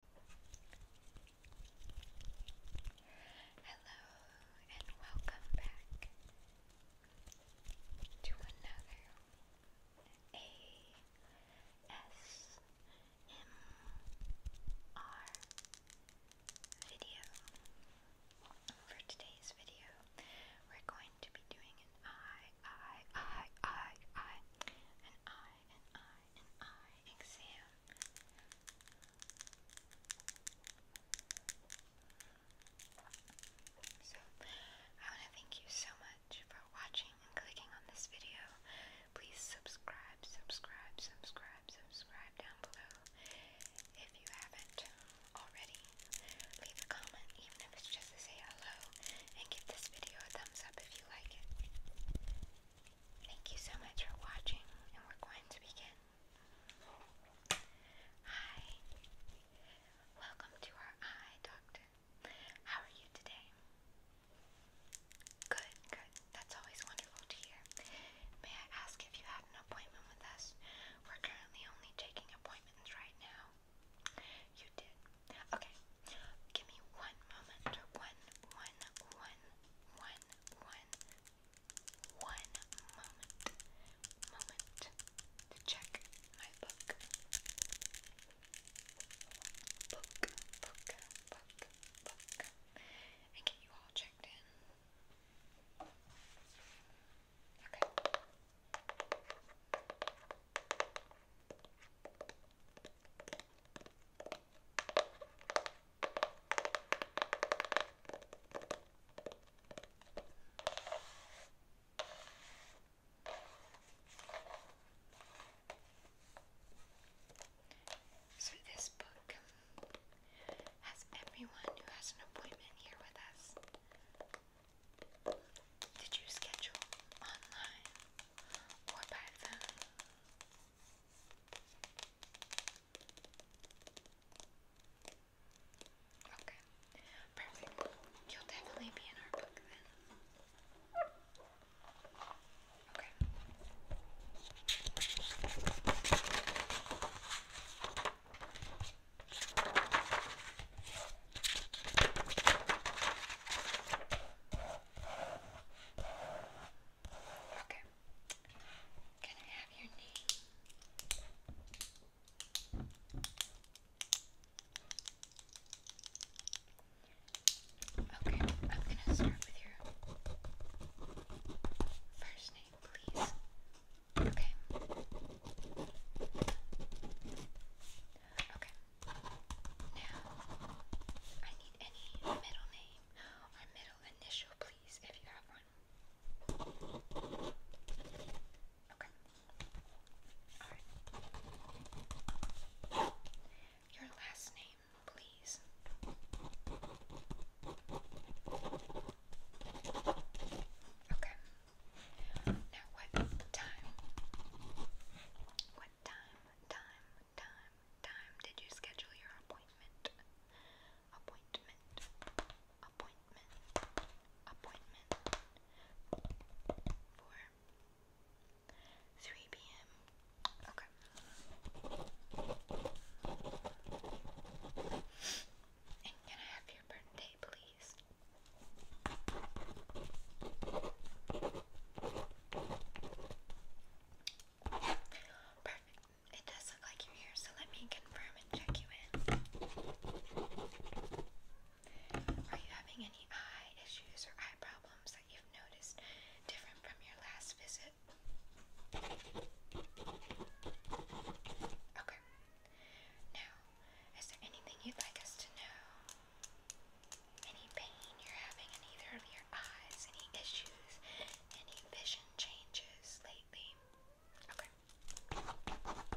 Hello and welcome back to another ASMR video. For today's video, we're going to be doing an I, I, I, I, I, an I, an I. So, I want to thank you so much for watching and clicking on this video. Please subscribe, subscribe, subscribe, subscribe down below if you haven't already. Leave a comment, even if it's just to say hello, and give this video a thumbs up if you like it. Thank you so much for watching, and we're going to begin. Hi, welcome to our eye doctor. How are you today? Good, good. That's always wonderful to hear. May I ask if you had an appointment with us? We're currently only taking appointments right now. You did. Okay. Give me one moment. One, one, one, one, one, one moment. Moment to check my book. Book, book, book, book. And get you all checked in. Okay. So, this book has everyone who has an appointment here with us. Did you schedule online? Okay, perfect. You'll definitely be in our book then. Okay. Okay. Can I have your name? Okay, I'm gonna start with your first name, please. Okay. Okay. Now, I need any middle name or middle initial, please, if you have one. Okay. Alright. Your last name, please. Okay. Now, what time? What time, time, time, time did you schedule your appointment? Appointment, appointment, appointment. For 3 p.m. Okay. can I have your birthday, please? Perfect. It does look like you're here, so let me confirm and check you in. Are you having any eye issues or eye problems that you've noticed different from your last visit? Okay. Now, is there anything you'd like us to know any pain you're having in either of your eyes, any issues, any vision changes lately? Perfect.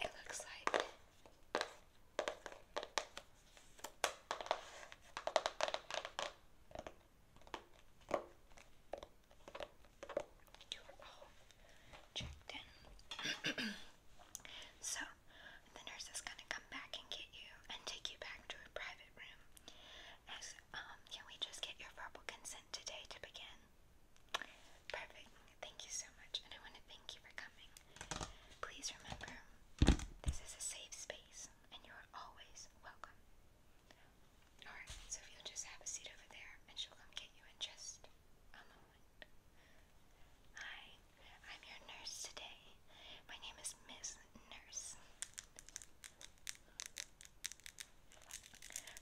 It looks like you checked in. so, the nurse is going to come back and get you and take you back to a private room. Um, can we just get your verbal consent today to begin? Perfect. Thank you so much, and I want to thank you for coming. Please remember, this is a safe space, and you are always welcome. Alright, so if you'll just have a seat over there, and she'll come get you in just a moment. Hi, I'm your nurse today. My name is Miss Nurse.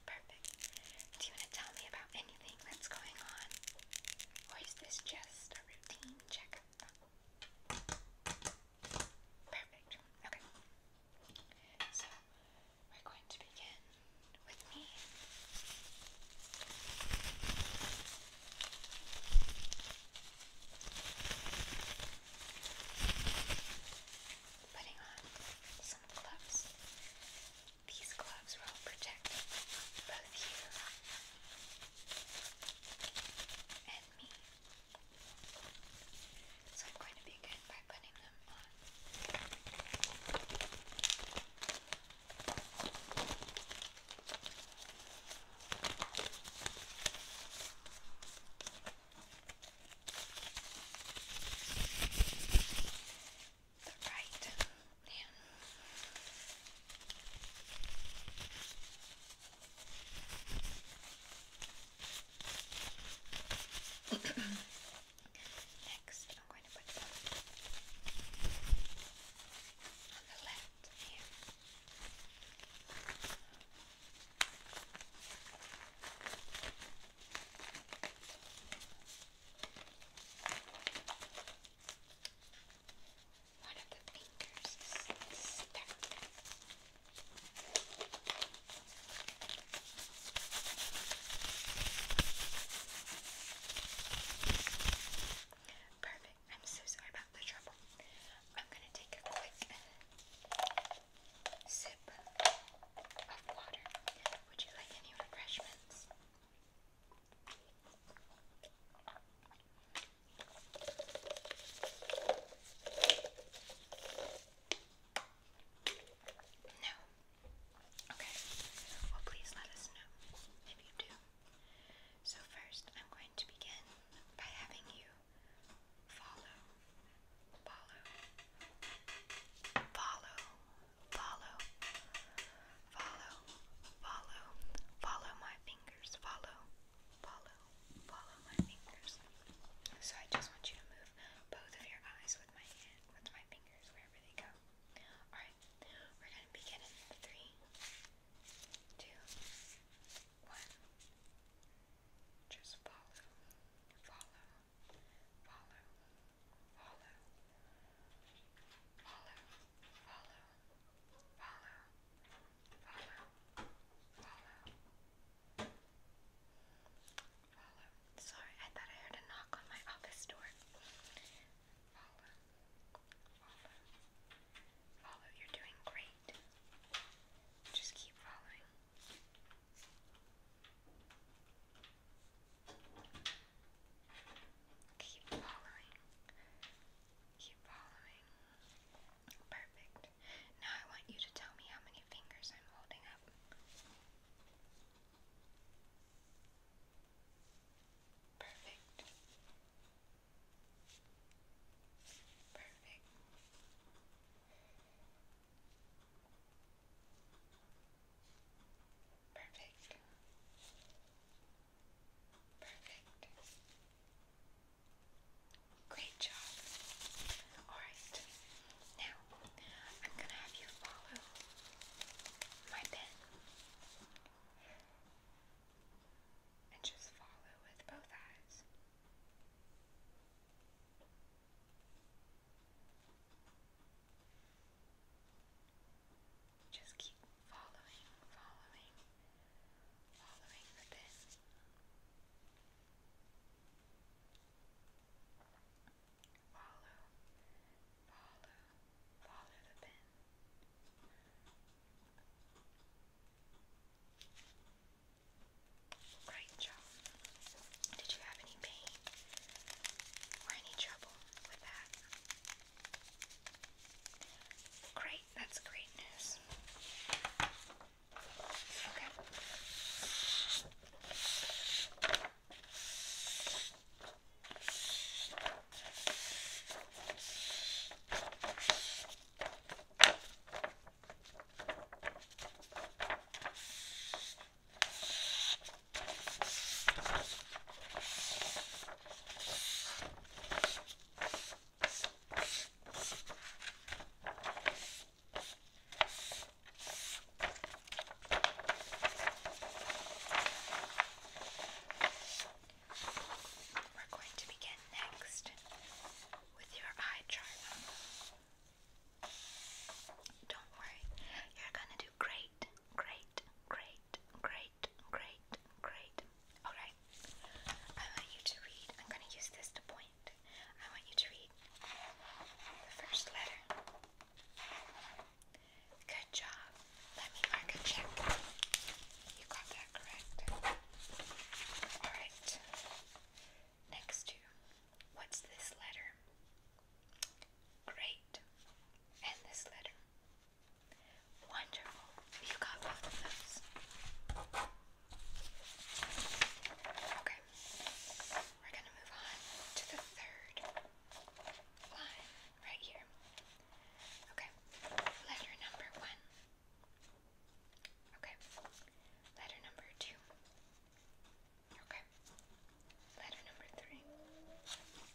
Perfect. Do you want to tell me about anything that's going on? Or is this just a routine checkup? Perfect. Okay. So, we're going to begin with me. Putting on some gloves. These gloves will protect both you and me. So I'm going to begin by putting them on the right Next, I'm going to put on the left here. One of the fingers is Perfect. I'm so sorry about the trouble. I'm going to take a quick sip of water. Would you like any refreshments? No. Okay. Well, please let us know if you do. So, first, I'm going to begin by having you follow, follow, follow follow, follow, follow, follow my fingers, follow, follow, follow my fingers. So I just want you to move both of your eyes with my hand, with my fingers, wherever they go. Alright, we're gonna begin in three, two, one. Just follow, follow, follow, follow, follow, follow, follow, follow, follow, follow, Sorry, I thought I heard a knock on my office door. Follow, follow, follow. You're doing great. Just keep following. Keep following. Keep following. Perfect. Now I want you to tell me how many fingers I'm holding up. Perfect. Perfect. Perfect. Perfect. Great job. Alright. Now, I'm going to have you follow my pen. And just follow with both eyes. Just keep following, following, following the pin. Follow, follow, follow the pin. Right jaw. Did you have any pain or any trouble with that? Great, that's great news. Okay. We're going to begin next with your eye chart. Don't worry, you're gonna do great, great, great, great, great, great. Alright, I want you to read. I'm gonna use this to point. I want you to read the first letter. Good job. Let me check. You got that correct. Alright. Next to, what's this letter? Great. And this letter. Wonderful. You got both of those. Okay. We're going to move on to the third line right here. Okay. Letter number one. Okay. Letter number two. Okay. Letter number three.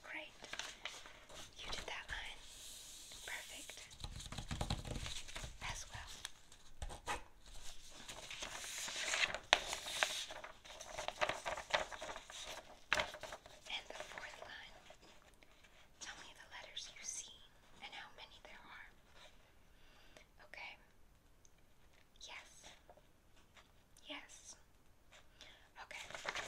Great. You did that line perfect as well. And the fourth line. Tell me the letters you see and how many there are. Okay, Yes. Yes. Okay. Perfect.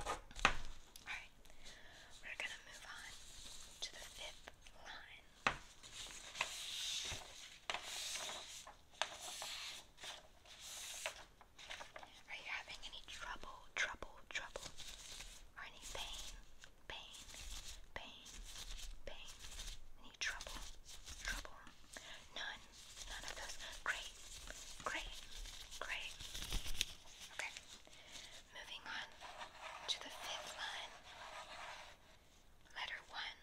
Alright. We're going to move on to the fifth line. Are you having any trouble, trouble, trouble or any pain, pain, pain, pain, any trouble, trouble, none, none of those. Great, great, great. Okay, moving on to the fifth line. Letter one,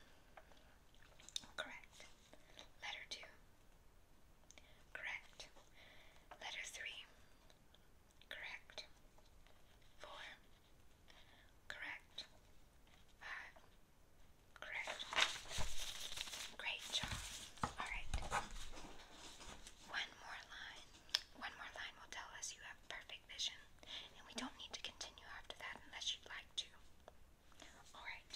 correct. Letter two, correct. Letter three, correct. Four, correct. Five, correct. Great job. Alright. One more line. One more line will tell us you have perfect vision, and we don't need to continue after that unless you'd like to. Alright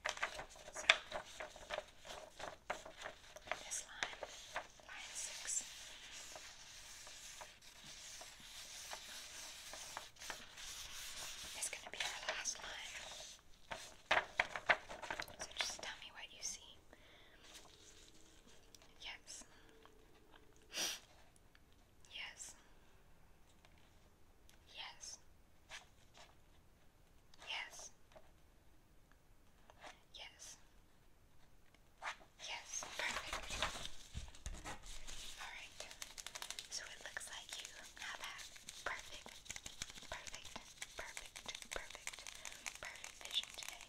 this line, line six. It's going to be our last line. So just tell me what you see. Yes. Yes. Yes. Yes. Yes. Yes, perfect. Alright. So it looks like you have had perfect, perfect, perfect, perfect, perfect vision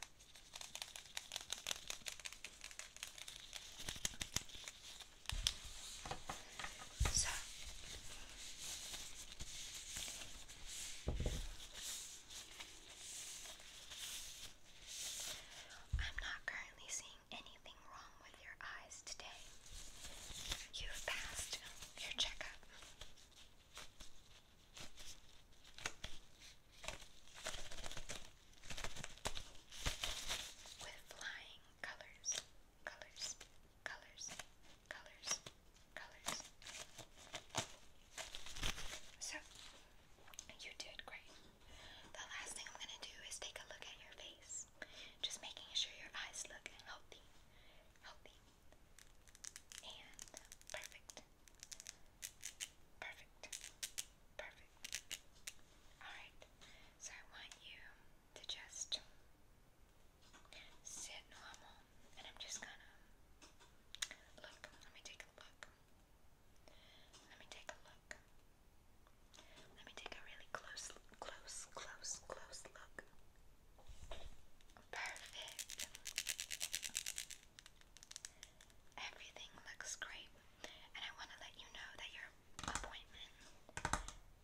So I'm not currently seeing anything wrong with your eyes today. You've passed your checkup. With flying colors, colors, colors, colors, so, you did great. The last thing I'm going to do is take a look at your face. Just making sure your eyes look healthy. Healthy. And perfect. Perfect. Perfect. Alright. So I want you to just sit normal, and I'm just gonna look. Let me take a look. Let me take a look. Let me take a really close, close, close, close look. Perfect. Everything looks great, and I want to let you know that your appointment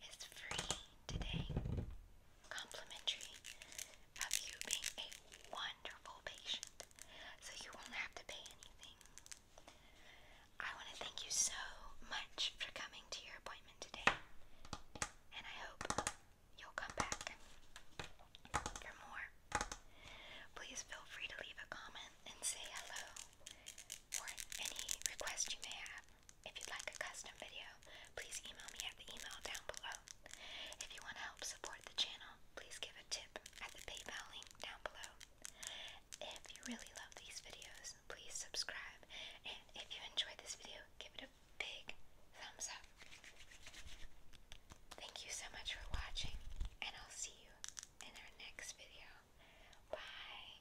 is free today complimentary of you being a wonderful patient, so you won't have to pay anything. I want to thank you so much for coming to your appointment today, and I hope you'll come back for more. Please feel free to leave a comment and say hello or any request you may have. If you'd like a custom video, please email me at the email down below. If you want to help support the channel, please give a tip at the PayPal link down below. If you really love these videos, please subscribe. And if you enjoyed this video, give it a big thumbs up. Thank you so much for watching, and I'll see you in our next video. Bye.